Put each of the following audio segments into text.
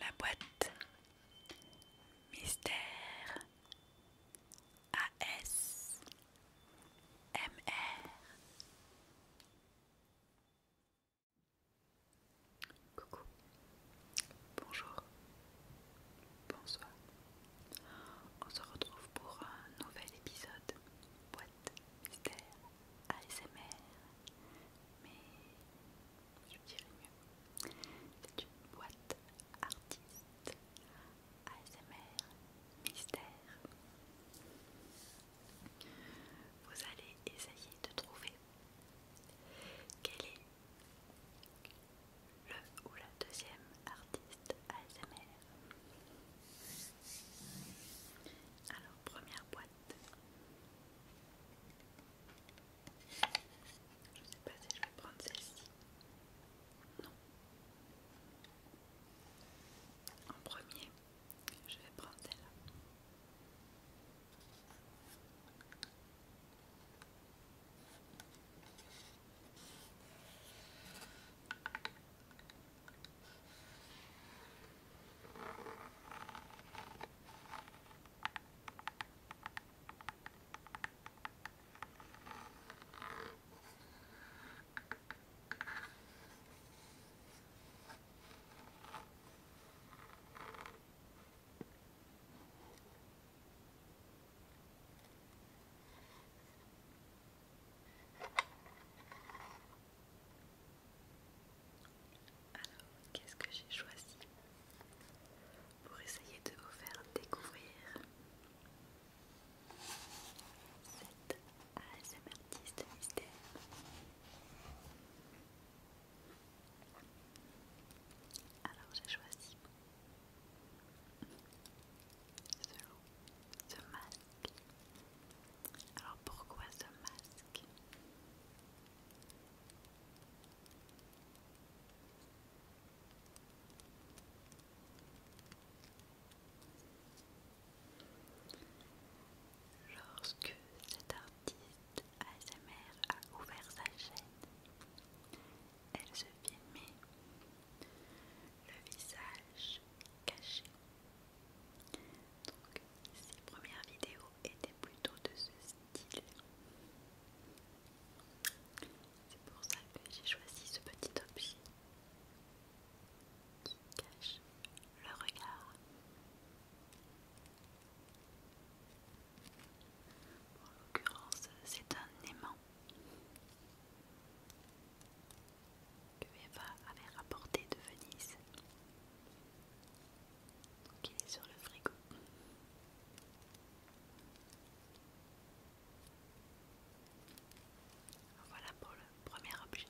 La boîte mystère AS MR Coucou, bonjour, bonsoir. On se retrouve pour un nouvel épisode boîte mystère ASMR, mais je dirais mieux, c'est une boîte artiste ASMR mystère. Vous allez essayer de trouver quel est le ou la deuxième artiste ASMR. Alors, première boîte. Je sais pas si je vais prendre celle-ci. Non. En premier, je vais prendre celle alors, qu'est-ce que j'ai choisi pour essayer de vous faire découvrir artiste mystère. Alors j'ai choisi ce, masque. Alors pourquoi ce masque Lorsque cet artiste ASMR a ouvert sa chaîne, elle se filmait le visage caché. Donc ses premières vidéos étaient plutôt de ce style. C'est pour ça que j'ai choisi ce petit objet qui cache le regard. En l'occurrence, c'est un aimant que Eva avait rapporté de Venise. qui est sur le frigo. Voilà pour le premier objet.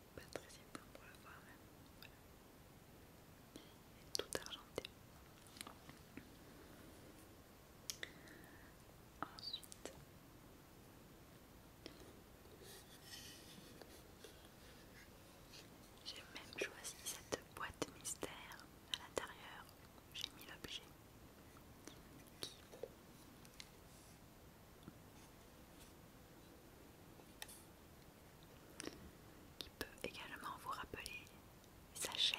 C'est pas très simple pour le voir même. Hein. Voilà. Il est tout argenté. Ensuite, j'ai même choisi cette boîte mystère à l'intérieur. J'ai mis l'objet qui peut également vous rappeler sa chaîne.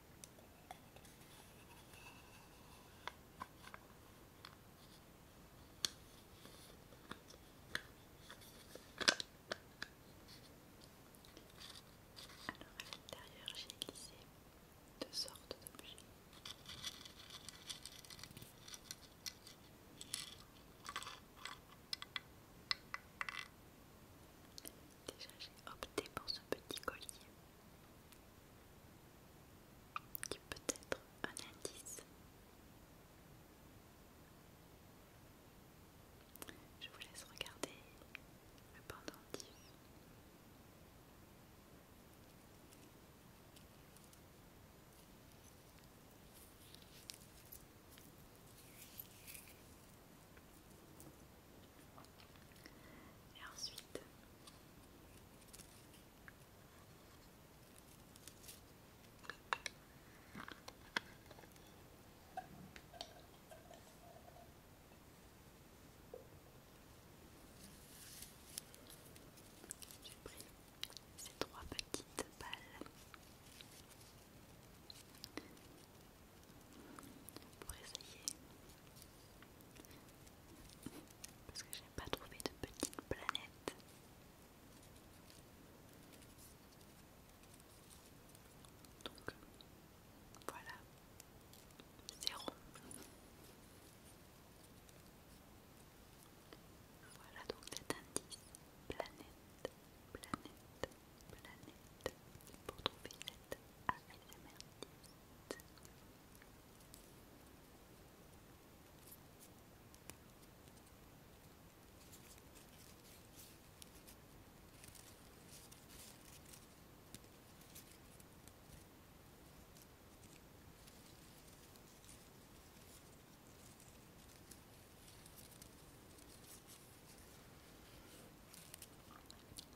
Alors à l'intérieur j'ai glissé deux sortes d'objets. Déjà j'ai opté pour ce petit collier qui peut être un indice. Je vous laisse regarder le pendentif. Et ensuite, j'ai pris ces trois petites balles pour essayer parce que n'ai pas trouvé de petite planète donc voilà zéro voilà donc cet indice planète planète planète pour trouver cette ASMR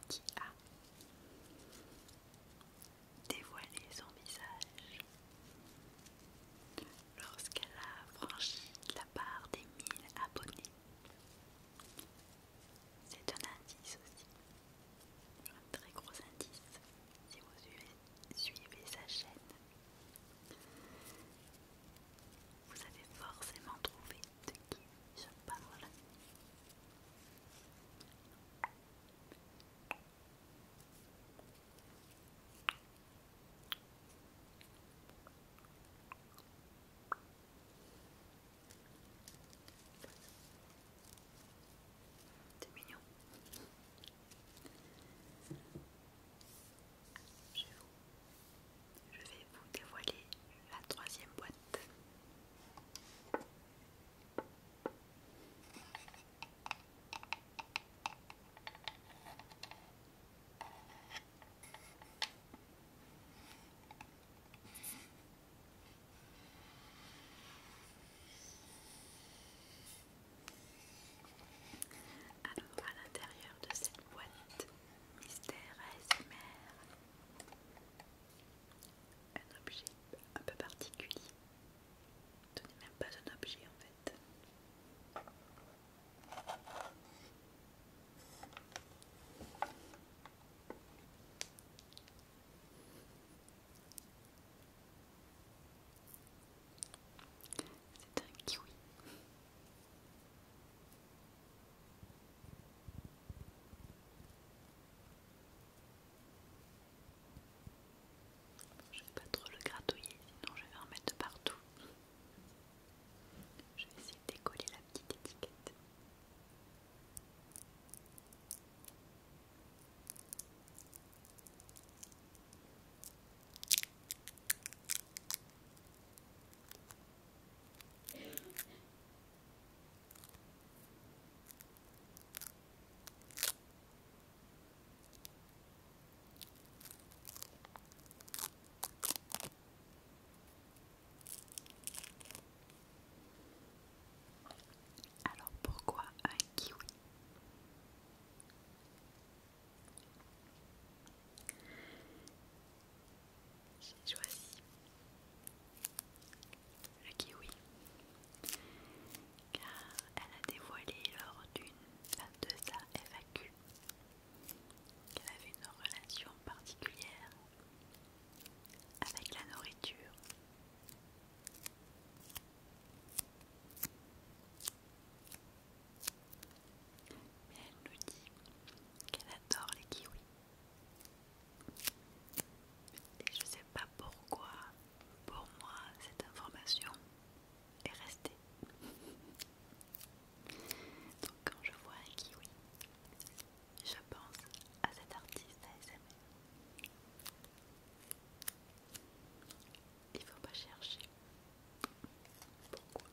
qui a dévoilé son visage lorsqu'elle a franchi la barre des 1000 abonnés. C'est un indice aussi, un très gros indice si vous suivez sa chaîne vous avez forcément trouvé de qui je parle. C'est mignon. Je vais vous dévoiler la troisième boîte. Alors à l'intérieur de cette boîte, Mystère ASMR. Un objet un peu particulier. Ce même pas un objet en fait. C'est un kiwi. Je vais pas trop le gratouiller, sinon je vais en mettre partout. Je vais essayer de décoller la petite étiquette. Alors pourquoi un kiwi j'ai choisi le kiwi car elle a dévoilé lors d'une de sa FAQ qu'elle avait une relation particulière avec la nourriture mais elle nous dit qu'elle adore les kiwis. Et je sais pas pourquoi, pour moi, cette information est restée. Donc quand je vois un kiwi, je pense à cet artiste ASMR il faut pas chercher pourquoi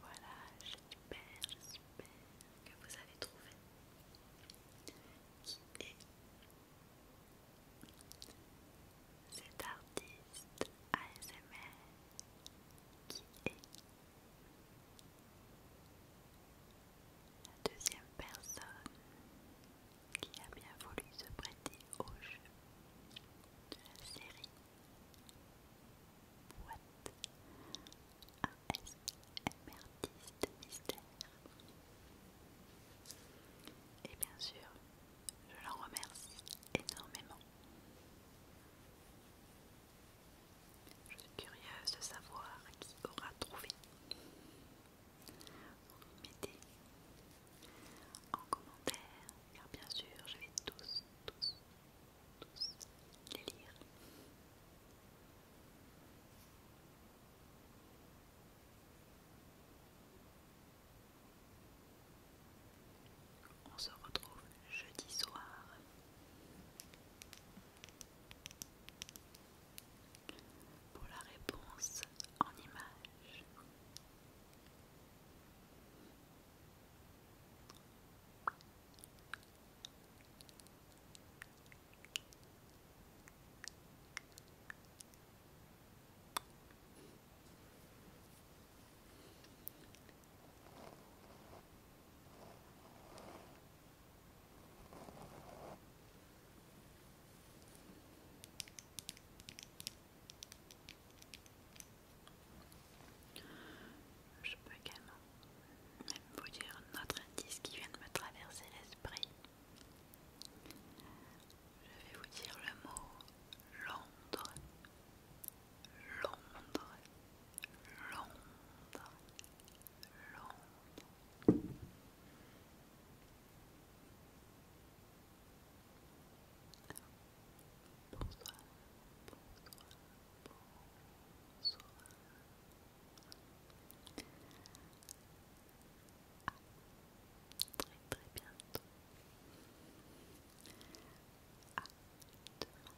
voilà, j'espère, j'espère que vous avez trouvé qui est cet artiste ASMR qui est la deuxième personne qui a bien voulu se prêter au jeu de la série boîte ASMRtiste mystère. Et bien sûr, je l'en remercie énormément. Je suis curieuse de savoir qui aura trouvé. Vous mettez en commentaire, car bien sûr, je vais tous, tous les lire. On se retrouve jeudi soir. Pour la réponse en image. Je peux également vous dire notre indice qui vient de me traverser l'esprit. Je vais vous dire le mot Londres. Londres. Londres. Londres. Bonsoir, bonsoir, bonsoir, très très bientôt. demain.